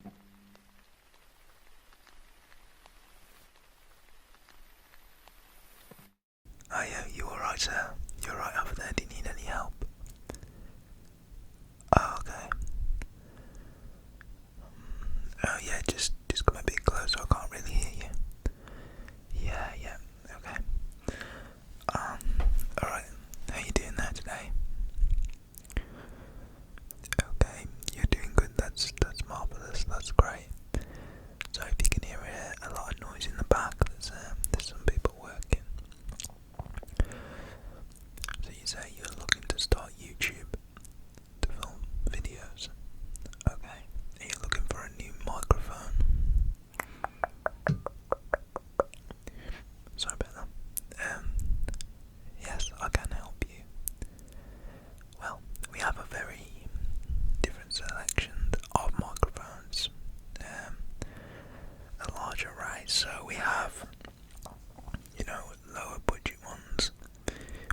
Oh yeah, you alright sir? You're right up there, do you need any help? Oh okay. Mm, oh yeah, just just come a bit closer, I can't really hear you. Yeah, yeah, okay. Um, alright, how you doing there today? Okay, you're doing good. That's that's marvelous. That's great. So if you can hear a, lot of noise in the back, there's um, there's some people working. So you say you're looking to start YouTube to film videos. Okay, are you looking for a new microphone? Sorry about that. Um, Yes, I can help you. Well, we have a very different selection of microphones, um, a large array. So we have, you know, lower budget ones,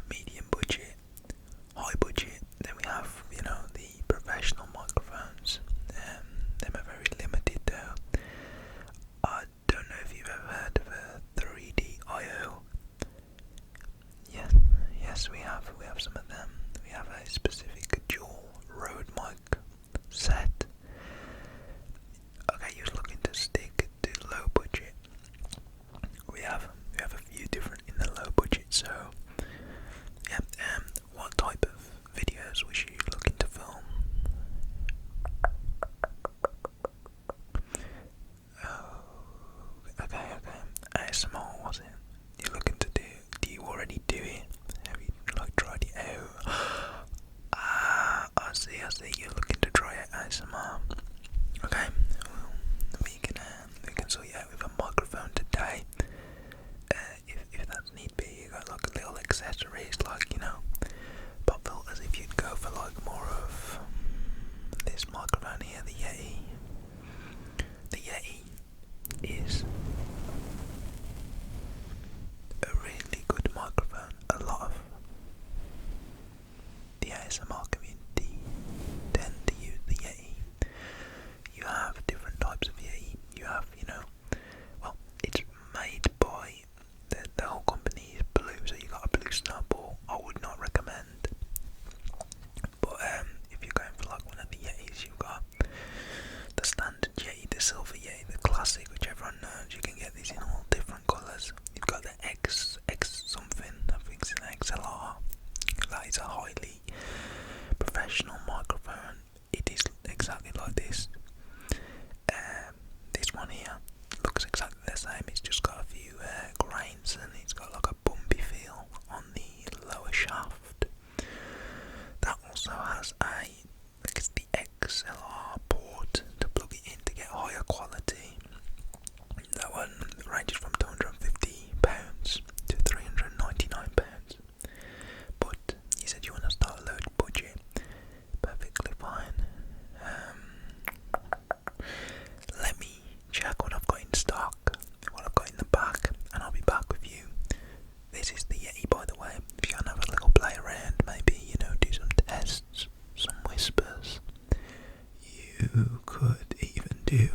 medium budget, high budget. Then we have, you know, the professional microphones. Um, them are very limited though don't know if you've ever heard of a 3D Yes, yes, we have. We have some of them. We have a specific dual road mic set. Okay, you're looking to stick to low budget. We have we have a few different in the low budget. So, yeah. Um, what type of videos was you looking to film? Oh, okay, okay. ASMR was it? You're looking to do? Do you already do it? Have you like tried it out? Ah, I see, I see. You're looking to try it ASMR. Okay, we can uh, we can sort you out with a microphone today. Uh, if if that need be, you got like a little etc to raise like, you know, pop filters if you'd go for like more of um, this microphone here, the Yeti. The Yeti is a really good microphone. A lot of the ASMR community tend to use the Yeti. You have different types of Yeti. You have, you know, well, it's made by the, the whole company is blue, so you got a blue Or I would not recommend. But um, if you're going for like one of the Y's, you've got the standard Yeti, the silver Y, the classic, which everyone knows. You can get these in all different colours. You've got the X X something. I think it's an XLR. That is a highly professional microphone. It is exactly like this. Um, um, this one here looks exactly the same. It's just got a few uh, grains and it's got like a bumpy feel on the lower shaft. That also has a because the XLR port to plug it in to get higher quality. That one ranges from two hundred and fifty pounds to three hundred and ninety nine pounds. But you said you want to start a low budget perfectly fine. Um, let me check what I've got in stock, what I've got in the back, and I'll be back with you. This is the Yeti, by the way. If you want to have a little play around, maybe, you know, do some tests, some whispers. You could even do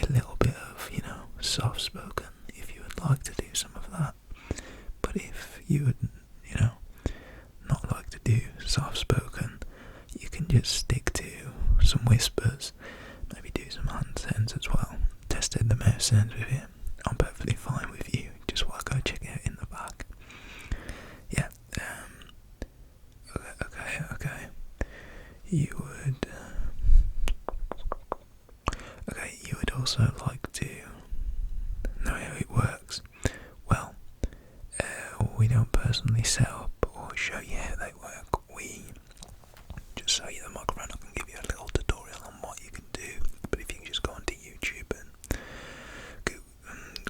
a little bit of, you know, soft spoken if you would like to do some of that. But if you you know, not like to do soft spoken. You can just stick to some whispers, maybe do some hand sends as well. Tested the mouse sends with it. I'm perfectly fine with you. Just want to go check it out in the park. Yeah. Um, okay. Okay. Okay. You would. Uh, okay. You would also like to know how it works. Well, uh, we don't personally set up or show you how they work. We just show you the mug around. I can give you a little tutorial on what you can do. But if you can just go onto YouTube and Google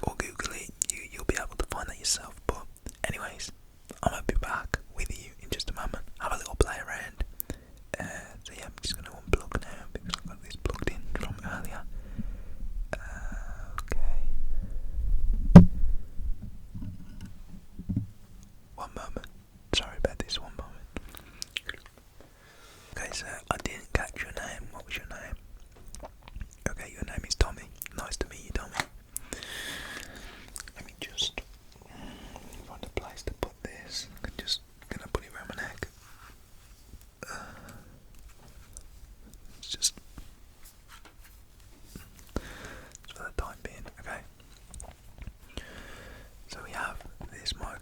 or Google it, you, will be able to find that yourself. But anyways, I'm gonna be back with you in just a moment. Have a little play around. Uh, so yeah, I'm just gonna unplug now because i got this plugged in from earlier. okay. One moment. Sorry about this. One moment. Okay, so I didn't catch your name. What was your name? Okay, your name is Tommy. Nice to meet you, Tommy. Let me just find a place to put this. just gonna put it around my neck. It's just, for the time being, okay? So we have this mic.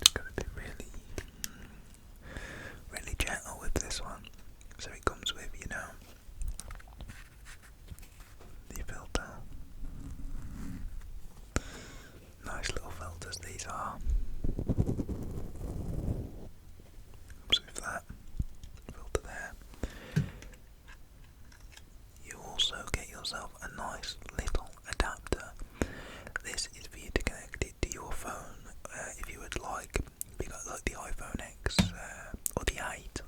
It's gonna be really really gentle with this one. So it comes with, you know, the filter. Nice little filters these are. with that filter there. You also get yourself a nice little adapter. This is for to connect it to your phone uh, if you would like you got like the iPhone X uh, or the 8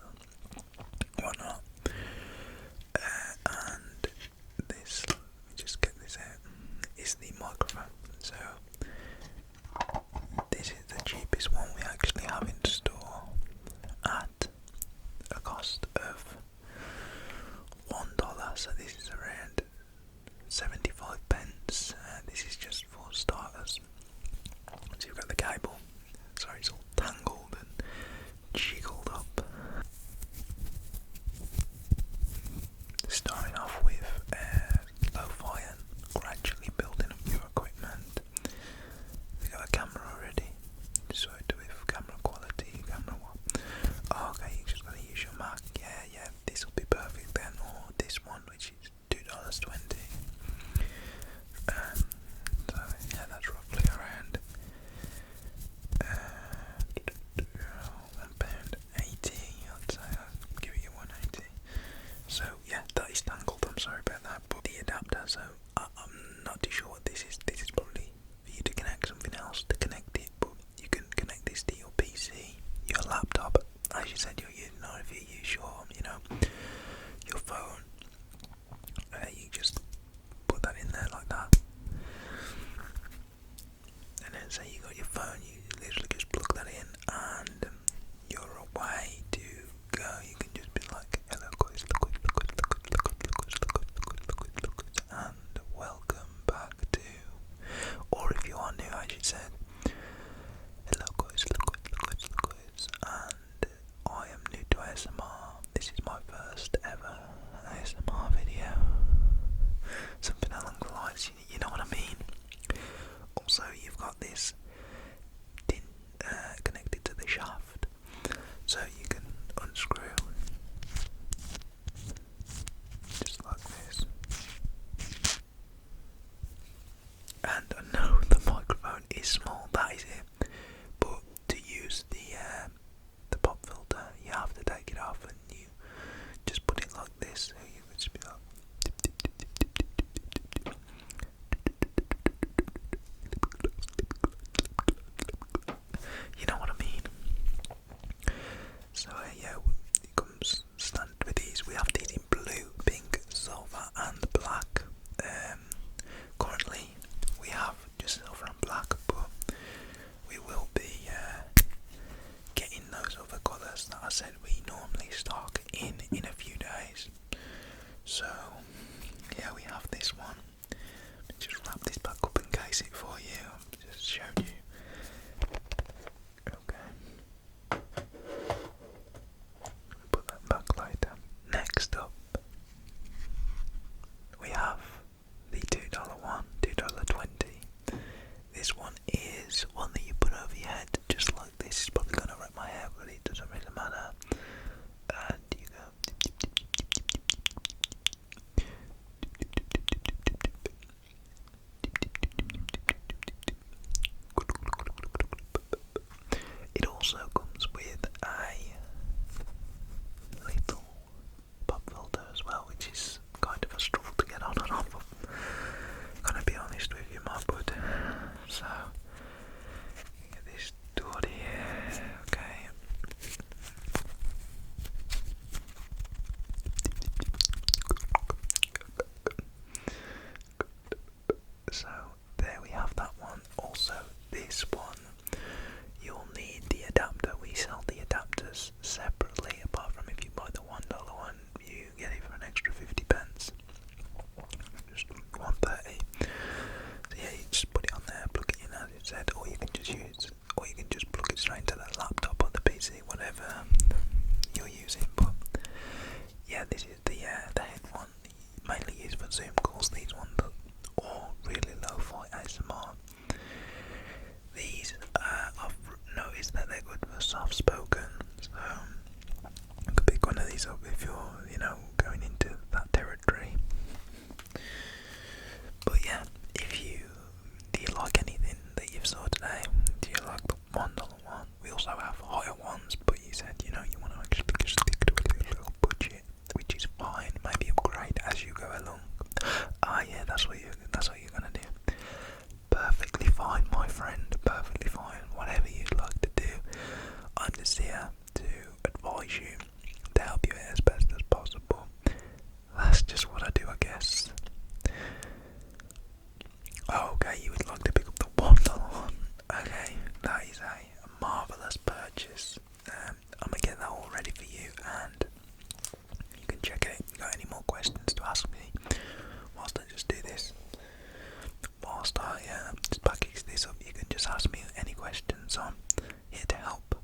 whatnot. Uh, and this, let me just get this out, is the microphone. So, this is the cheapest one we actually have in store at a cost of $1. So, this is around 75 pence. Uh, this is just for starters. So you've got the cable. Sorry, it's all tangled and jiggled up. Starting off with uh, low fire, gradually building up your equipment. You got a camera already, so do it with camera quality, camera what? Oh, okay, you just gotta use your Mac. Yeah, yeah, this will be perfect then, or this one, which is two dollars twenty. Um, so yeah, that's roughly around uh, pound eighty. I'd say I'll give you one eighty. So yeah, that is tangled. I'm sorry about that, but the adapter. So I'm not too sure what this is. This is probably for you to connect something else to connect it, but you can connect this to your PC, your laptop, but as you said, you'll you know if you use your, you know, your phone, you just put that in there like that. And then say you got your phone, you literally just plug that in, and you're away to go. You can just be like, and welcome back to." Or if you are new, as you said, Hello guys, hello guys, hello guys, hello guys, and I am new to ASMR. This is my first ever ASMR video. Something along the lines, you, know what I mean? Also, you've got this uh, connected to the shaft, so you can unscrew just like this. And I know the microphone is small, that is it. But to use the um, the pop filter, you have to take it off and you just put it like this. So you know what I mean? So uh, yeah, it comes stand with these. We have these in blue, pink, silver, and black. Um, currently, we have just silver and black, but we will be uh, getting those other colours that I said we normally stock in in a few days. So, yeah, we have this one. Just wrap this back up and case it for you. Just show you. Okay. Put that back later. Next up, we have the $2 one, $2.20. This one is one that you put over your head, just like this. It's probably going to rip my hair, but it doesn't really matter. And uh, you go. It also comes with a little pop filter as well, which is kind of a struggle to get on and off gonna be honest with you, my bud. So, get this done here, okay. So there we have that one. Also, this one, you'll need the adapter. We sell the adapters separately, apart from if you buy the one dollar one, you get it for an extra fifty pence. Just one thirty. yeah, you just put it on there, plug it in as it said, or you can just use, or you can just plug it straight into that laptop or the PC whatever um, you're using, but yeah, this is the uh, the head one mainly used for Zoom calls. These ones are all really low-fi ASMR. These uh, I've noticed that they're good for soft-spoken, so you could pick one of these up if you're you know going into that territory. But yeah, if you do you like anything that you've saw today? Do you like the one dollar one? We also have higher ones, but you said you know you want to stick to a little budget, which is fine. Maybe upgrade as you go along. Ah, yeah, that's what you that's what you're gonna do. Perfectly fine, my friend. Perfectly fine. Whatever you'd like to do, I'm just here to advise you, to help you as best as possible. That's just what I do, I guess. Oh, okay, you would like to pick up the one dollar Okay, that is a marvelous purchase. Um, I'm gonna get that all ready for you, and you can check it. You got any more questions to ask me? Whilst I just do this, whilst I uh, just package this up, you can just ask me any questions. I'm here to help.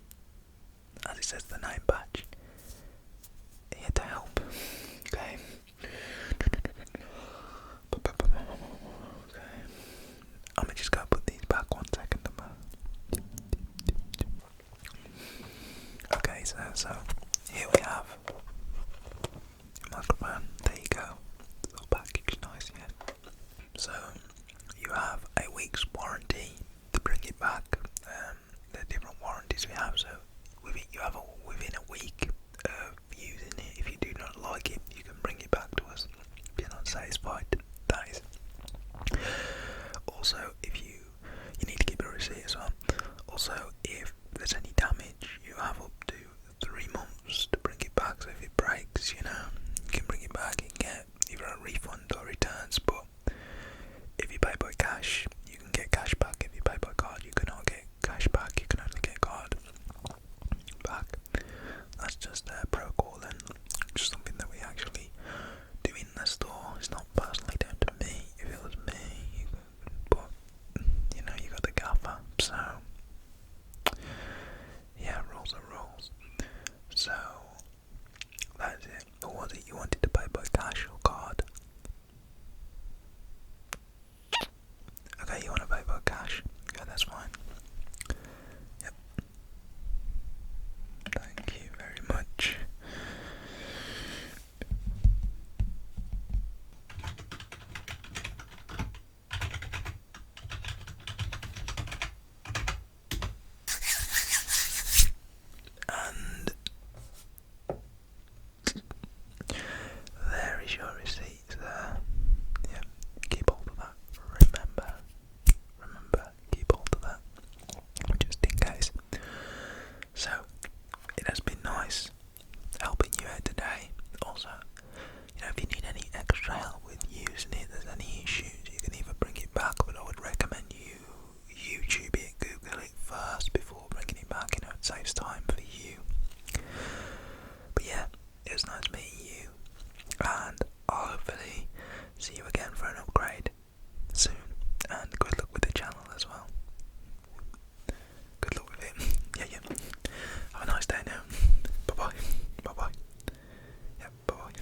As it says, the name badge here to help. Okay. Okay. I'm just gonna put these back one second. Okay, so here we have a microphone. There you go. package, nice, yeah. So you have a week's warranty to bring it back. Um, the different warranties we have. So within you have a, within a week of using it, if you do not like it, you can bring it back to us. If you're not satisfied, that is. Also, if you you need to keep a receipt as well. Also, if there's any damage, you have up to three months to bring it back. So if it breaks, you know, you can bring it back and get either a refund or returns. But if you buy by cash, you can get cash back. If you buy by card, you cannot get cash back. You can only get card back. That's just a protocol and just something that we actually do in the store. It's not personally down to me. If it was me, you know, you got the gaffer, so yeah, rules are rules. So that's it. Or was it you wanted to pay by cash or card? Okay, you want to pay by cash? Yeah, that's fine. Yep. Thank you very much. And there is your receipt there. Yeah, keep hold of that. Remember, remember, keep hold of that. Just in case. So, it has been nice helping you today. Also, you know, if you need any extra help with using it, there's any issues, you can either bring it back, but I would recommend you YouTube it, Google it first before bringing it back. You know, it saves time for you. But yeah, it was nice meeting you, and hopefully see you again for an upgrade soon. And good luck with the channel as well. Good luck with it. yeah, yeah. Have a nice day now. Bye bye. Bye bye. Yeah, bye bye.